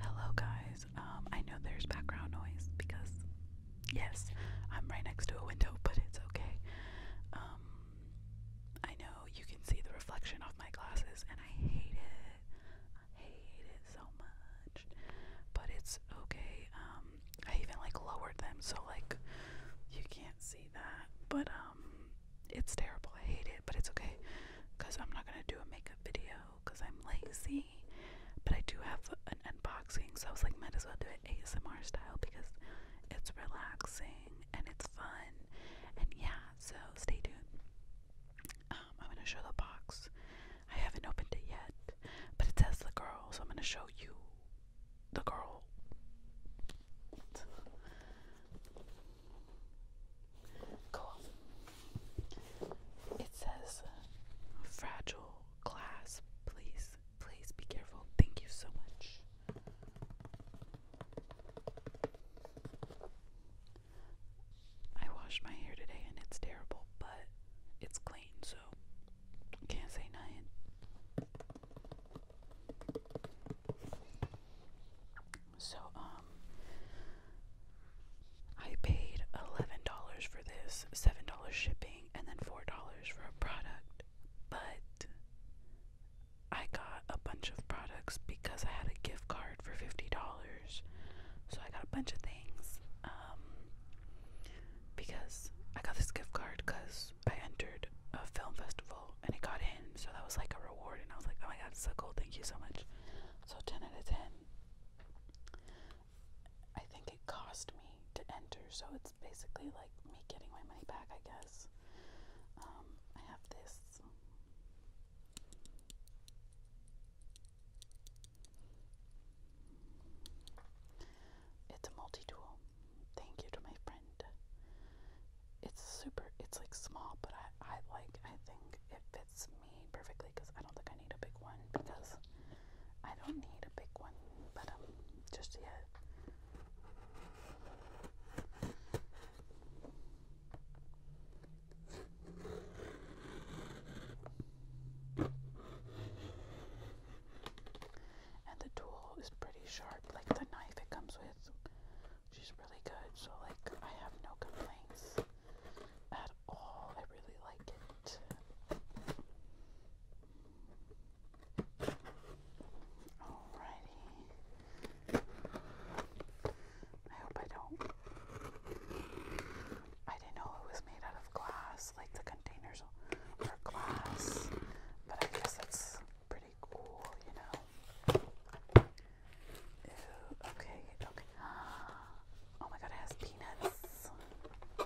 Hello, guys. Um, I know there's background noise because, yes, I'm right next to a window, but it's okay. Um, I know you can see the reflection off my glasses, and I hate it. I hate it so much, but it's okay. Um, I even like lowered them so like you can't see that, but it's terrible. I hate it, but it's okay because I'm not gonna do a makeup video because I'm lazy. But I do have an unboxing, so I was like, might as well do it ASMR style because it's relaxing and it's fun. And yeah, so stay tuned. Um, I'm gonna show the box. I haven't opened it yet, but it says the girl, so I'm gonna show you the girl. Cool. It says fragile glass. Please, please be careful. Thank you so much. I washed my hair today and it's terrible, but it's clean, so can't say nothing. So, um, I paid $11 for this, $7 shipping, and then $4 for a product. But I got a bunch of products because I had a gift card for $50. So I got a bunch of things. Um, because I got this gift card because I entered a film festival and I got in. So that was like a reward. And I was like, oh my God, it's so cool. Thank you so much. So 10 out of 10. I think it cost me to enter, so it's basically like me getting my money back, I guess. Um, I have this. It's a multi tool. Thank you to my friend it's super it's like small but I, I like I think it fits me perfectly because I don't think I need a big one because I don't need a big one but um just yet and the tool is pretty sharp like the knife it comes with she's really good. So like I have no complaints at all. I really like it. Alrighty. I hope I don't. I didn't know it was made out of glass, like the containers were glass, but I guess that's pretty pretty cool, you know. Ooh, okay, okay. Oh my god, it has peanuts. Oh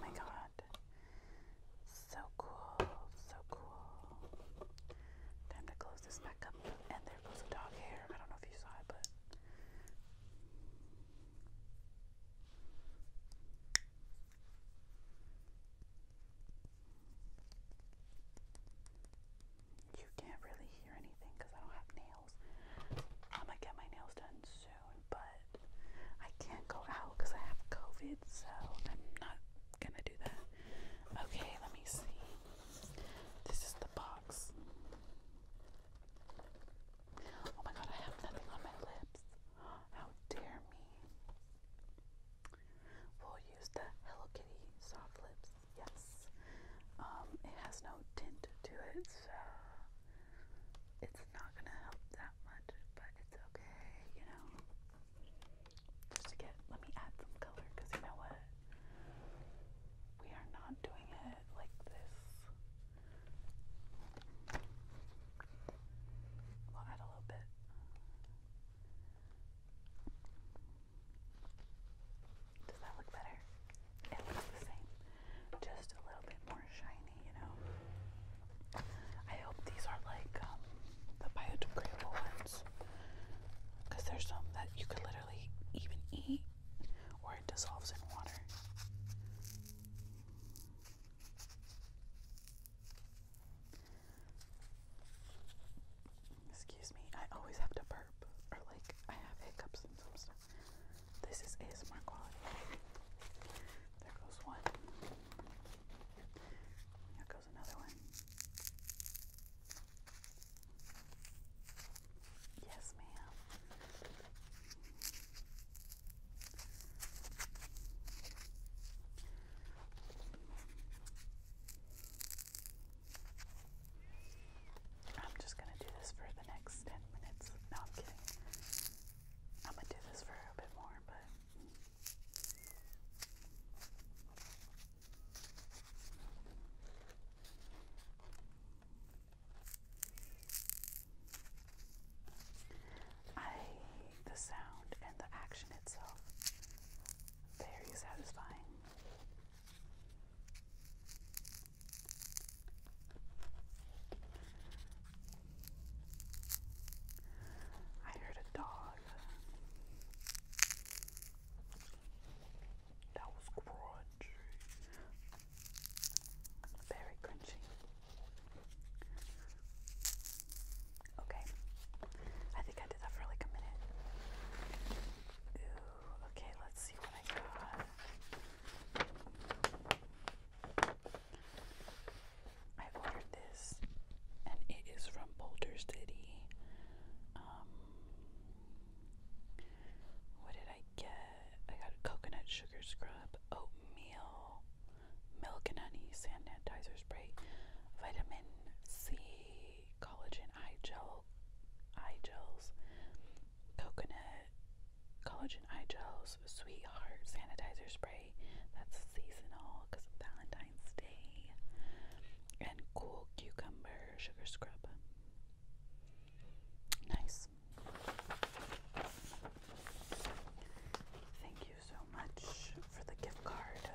my god. So cool, so cool. Time to close this back up. And there goes the dog hair. I don't know if you saw it, but. You can't really hear anything because I don't have nails. I'm gonna get my nails done soon, but I can't go out because I have COVID, so I'm not gonna do that. Okay, let me see. This is the box. Oh my god, I have nothing on my lips. How dare me! We'll use the Hello Kitty soft lips. Yes, um, it has no tint to it, so it's not gonna help that much, but it's okay, you know. Just to get, let me add some color because you know what, we are not doing it like this. We'll add a little bit. Does that look better? It looks the same. Just a little bit more shiny, you know. I hope these are like um, the biodegradable ones. Because there's some that you could literally even eat or it dissolves in water. Excuse me, I always have to burp or like I have hiccups and some stuff. This is ASMR quality. There goes one. There goes another one. Yes, ma'am. I'm just gonna do this for the next 10 minutes. No, I'm kidding. I'm gonna do this for a bit more, but. I the sound and the action itself very satisfying. I heard a dog that was crunchy, very crunchy. Okay. I think I did that for like a minute. Ooh, okay, let's see what I got. I ordered this and it is from Boulder City. Um what did I get? I got a coconut sugar scrub, oatmeal, milk and honey sand sanitizer spray, vitamin C, collagen eye gel, eye gels, coconut collagen eye gels, sweetheart sanitizer spray. That's seasonal because of Valentine's Day, and cool cucumber sugar scrub. Nice. Thank you so much for the gift card.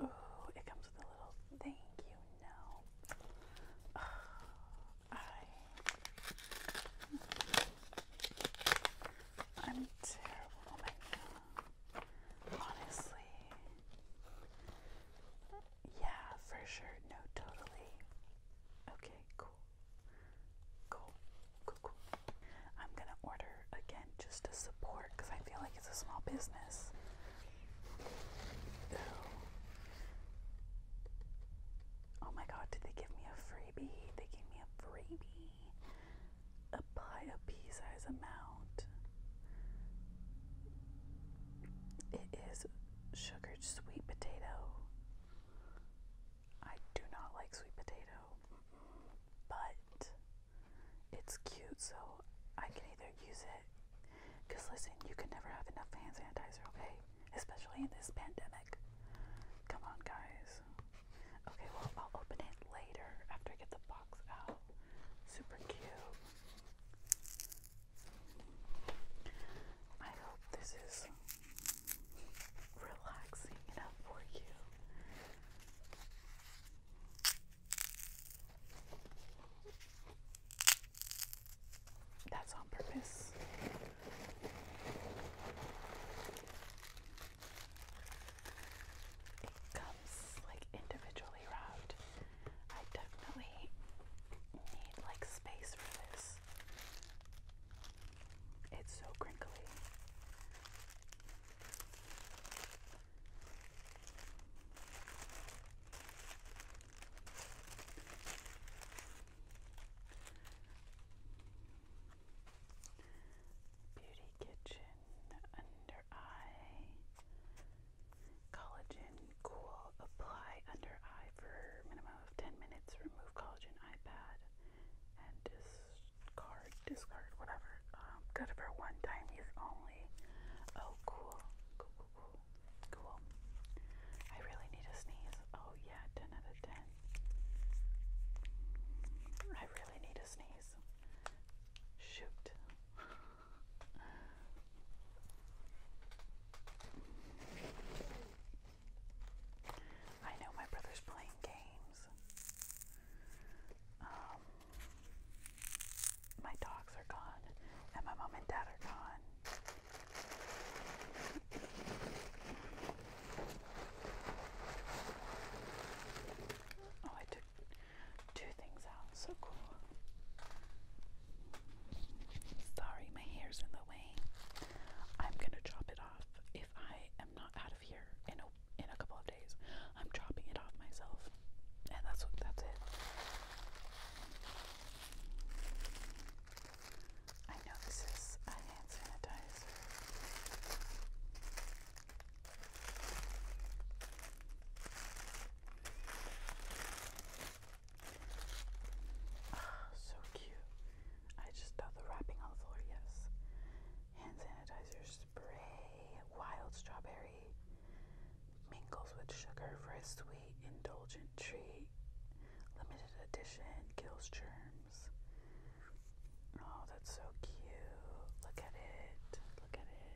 Oh, it comes with a little thank you note. I, am a terrible woman, honestly. Yeah, for sure. No, totally. Okay, cool. Cool. Cool, cool. I'm gonna order again just to support because I feel like it's a small business. Oh my god, did they give me a freebie? They gave me a freebie. Apply a pea size amount. It is sugared sweet potato. I do not like sweet potato, but it's cute, so I can either use it. Because listen, you can never have enough hand sanitizer, okay? Especially in this pandemic. Come on, guys. Okay, well, I'll open it later after I get the box out. Super cute. I hope this is relaxing enough for you. That's on purpose. It comes like individually wrapped I definitely need like space for this. It's so crinkly. Beauty Kitchen under eye Collagen Cool. Apply under eye for minimum of 10 minutes. Remove collagen eye and discard, discard, whatever. Um, good for one time use only. Oh, Cool, cool, cool. Cool. I really need a sneeze. Oh, yeah, 10 out of 10. I really need a sneeze. Shoot. I know my brother's playing games. Um, my dogs are gone, and my mom and dad are gone. Oh, I took two things out. So cool. Sorry, my hair's in the way. I'm gonna drop it off if I am not out of here in a in a couple of days. I'm dropping it off myself, and that's what that's it. I know this hand sanitizer. Oh, so cute. I just thought the wrapping on the floor, yes. Hand sanitizer spray, wild strawberry mingles with sugar for a sweet, indulgent treat. Limited edition kills germs. Oh, that's so cute. Look at it. Look at it.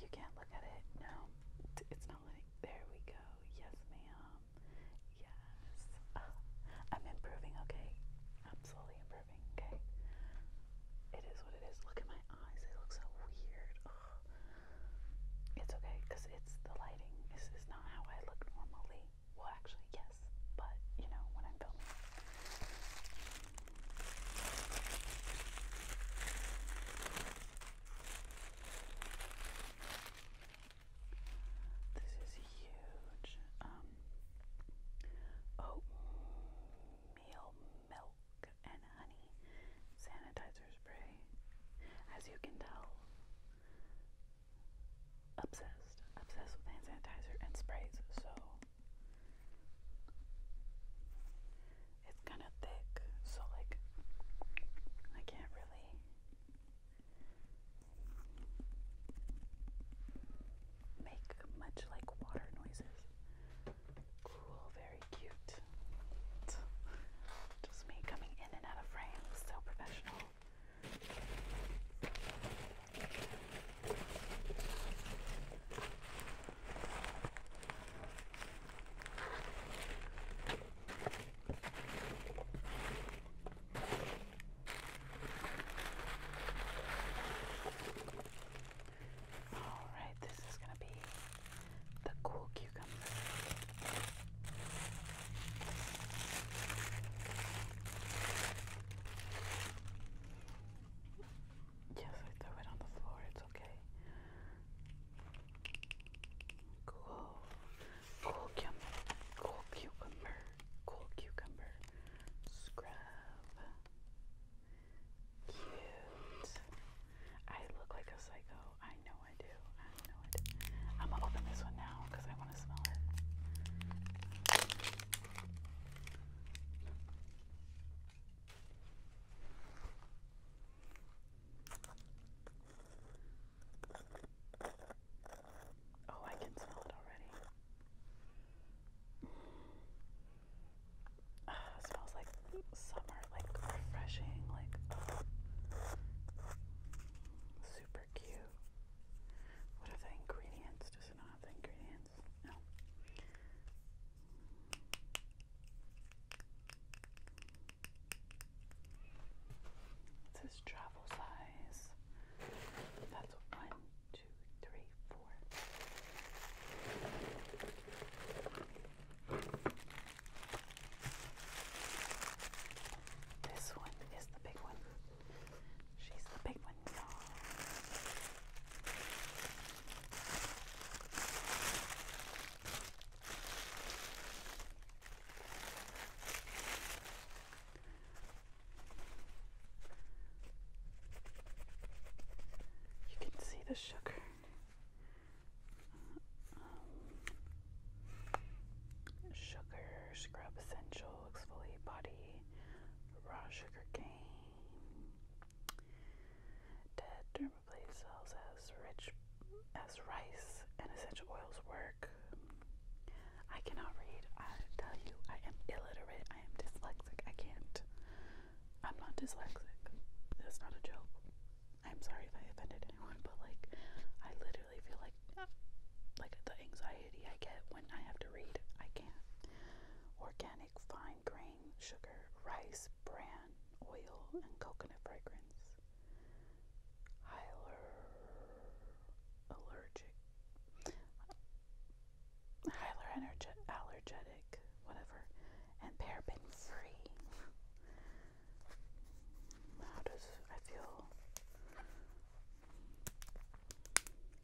You can't look at it. No, it's not letting. There we go. Yes, ma'am. Yes. I'm improving. Okay, I'm slowly improving. Okay. It is what it is. Look at my eyes. They look so weird. It's okay because it's the lighting. This is not how I look normally. Well, actually, yes, but you know when I'm filming. This is huge. Um, oatmeal milk and honey sanitizer spray. As you can tell, obsessed, obsessed with hand sanitizer and sprays. So it's kind of thick, so like I can't really make much like water noises. Cool, very cute. Just me coming in and out of frame, so professional. All right, this is going to be the cool cucumber. Yes, I threw it on the floor. It's okay. Cool. Cool cucumber. Cool cucumber. Cool cucumber. Scrub. Cute. I look like a psycho. I know I do. I know I do. I'm gonna open this one now because I want to smell it. Oh, I can smell it already. Ah, smells like summer, like refreshing, like super cute. What are the ingredients? Does it not have ingredients? It says travel size. That's one, two, three, four. This one is the big one. She's the big one. You can see the sugar. sugar, scrub essential, exfoliate body, raw sugar cane. Dead dermablade cells as rich as rice and essential oils work. I cannot read. I tell you, I am illiterate. I am dyslexic. I can't. I'm not dyslexic. That's not a joke. I'm sorry if I offended anyone, but like, I literally feel like, like the anxiety I get when I have to read, I can't. Organic fine grain, sugar, rice, bran, oil, and coconut fragrance. Hyler allergic. Hyler energe allergenic, whatever, and paraben free. How does I feel?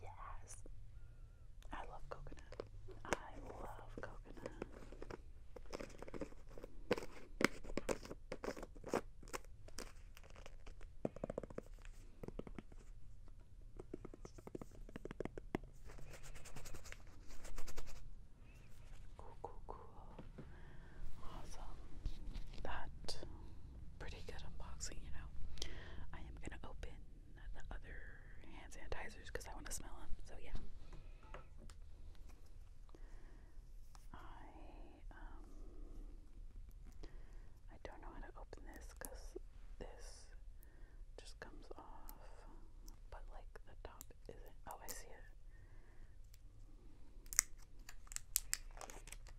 Yes. I love coconut. I love coconut. Cool, cool, cool. Awesome. That pretty good unboxing, you know. I am gonna open the other hand sanitizers because I want to smell them. So yeah. I um I don't know how to open this because this just comes off, but like the top isn't. Oh, I see it.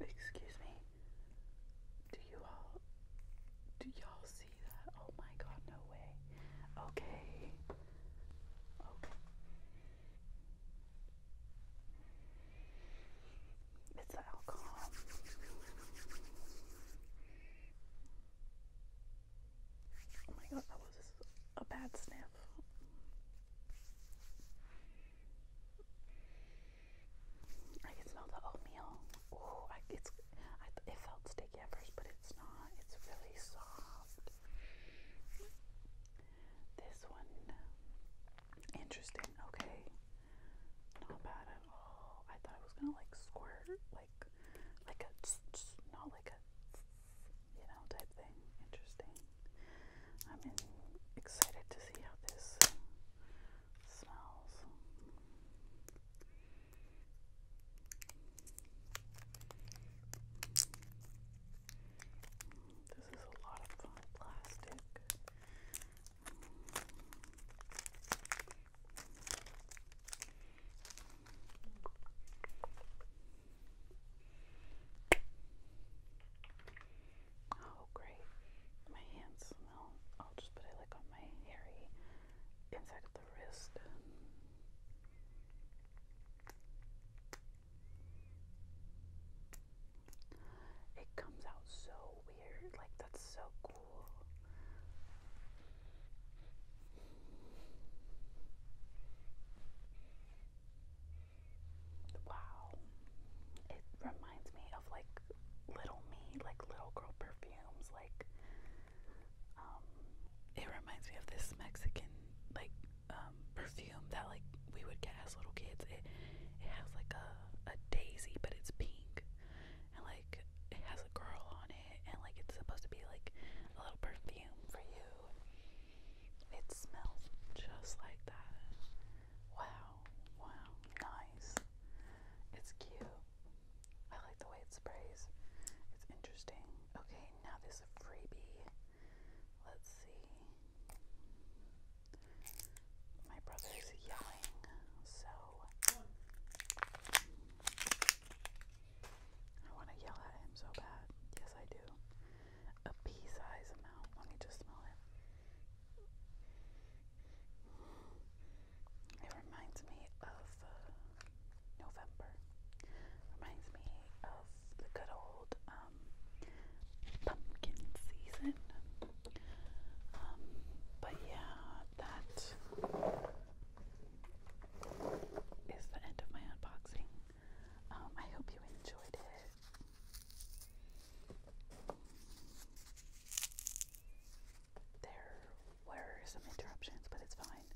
Excuse me. Do you all do y'all see that? Oh my god, no way. Okay. Okay. It's the alcohol. Oh my god, that was a bad sniff. I can smell the oatmeal. Oh, it's it felt sticky at first, but it's not. It's really soft. This one, interesting. Okay, not bad at all. I thought I was gonna like squirt, like like a not like a you know, type thing. Interesting. I'm in, excited to see how this smells. This is a lot of fun plastic. Mm. Oh, great. My hands smell. I'll just put it like on my hairy inside of the wrist. It comes out so weird. Like, that's so cool. Wow. It reminds me of like little me, like little girl perfumes, like um it reminds me of this Mexican like um perfume that like we would get as little kids. It it has like a, a daisy but it's pink and like it has a girl on it and like it's supposed to be like a little perfume for you. It smells just like that. Wow, wow, nice. It's cute. I like the way it sprays. It's interesting. Okay, now this is a freebie. Let's see. My brother is yelling, so I want to yell at him so bad. Yes, I do. A pea size amount. Let me just smell it. It reminds me of uh, November. Reminds me of the good old um, pumpkin season. Um, but yeah, that is the end of my unboxing. Um, I hope you enjoyed it. There were some interruptions, but it's fine.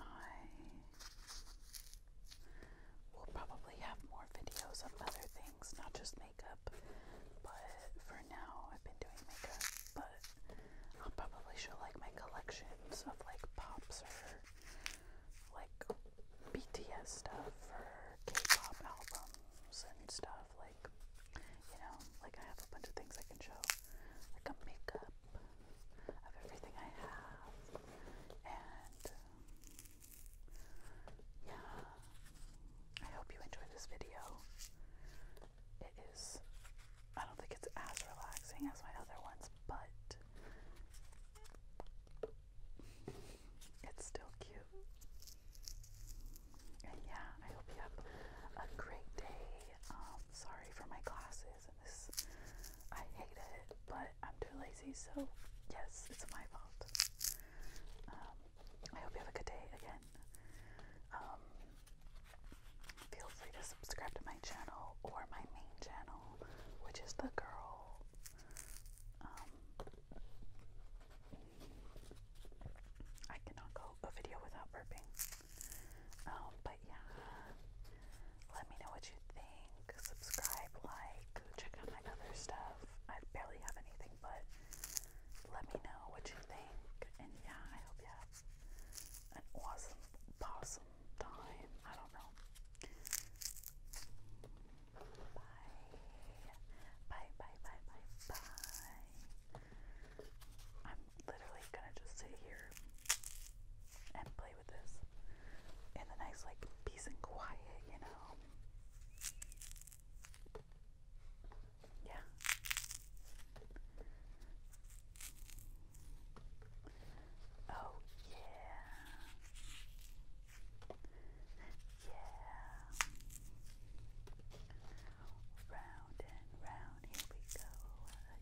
I will probably have more videos of other things, not just makeup, but for now I've been doing makeup, but I'll probably show like my collections of like pops or like BTS stuff or K-pop albums and stuff like you know like I have a bunch of things I can show like a makeup of everything I have and um, yeah I hope you enjoyed this video it is, I don't think it's as relaxing as my other ones, but it's still cute. And yeah, I hope you have a great day. Um, sorry for my glasses I hate it, but I'm too lazy, so yes, it's my fault. Um, I hope you have a good day again. Um, Feel free to subscribe to my channel or my main channel, which is the girl. Um, I cannot go a video without burping. Um, but yeah, let me know what you think. Subscribe, like, check out my other stuff. I barely have anything, but let me know what you think. And yeah, I hope you have an awesome, awesome time. I don't know. Bye. Bye, bye, bye, bye, bye. I'm literally gonna just sit here and play with this in the nice, like, peace and quiet, you know? Yeah. Oh, yeah. Yeah. Round and round, here we go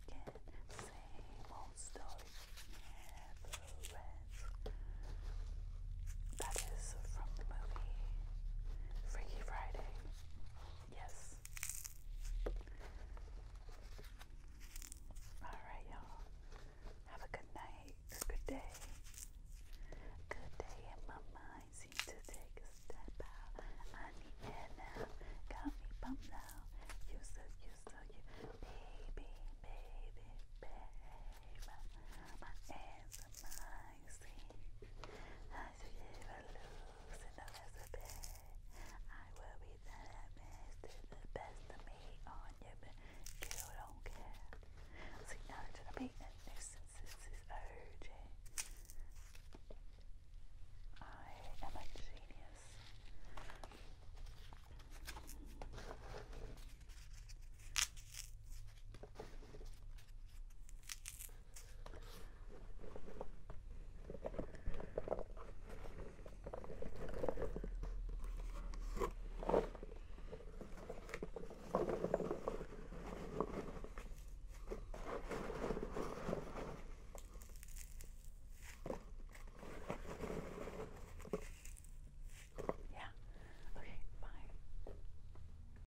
again. Same old story never ends. That is from the movie Freaky Friday. Yes. Alright, y'all. Have a good night, good day. Good day, and my mind seems to take a step out. I need air now. Got me pumped now. You so, you so, you. Baby, baby, baby. My hands are mine relaxing as you give a loose in I will be the best, the best of me on your you don't care. So now to the beat and nuisance is urging. I am a genius. Yeah. Okay, bye.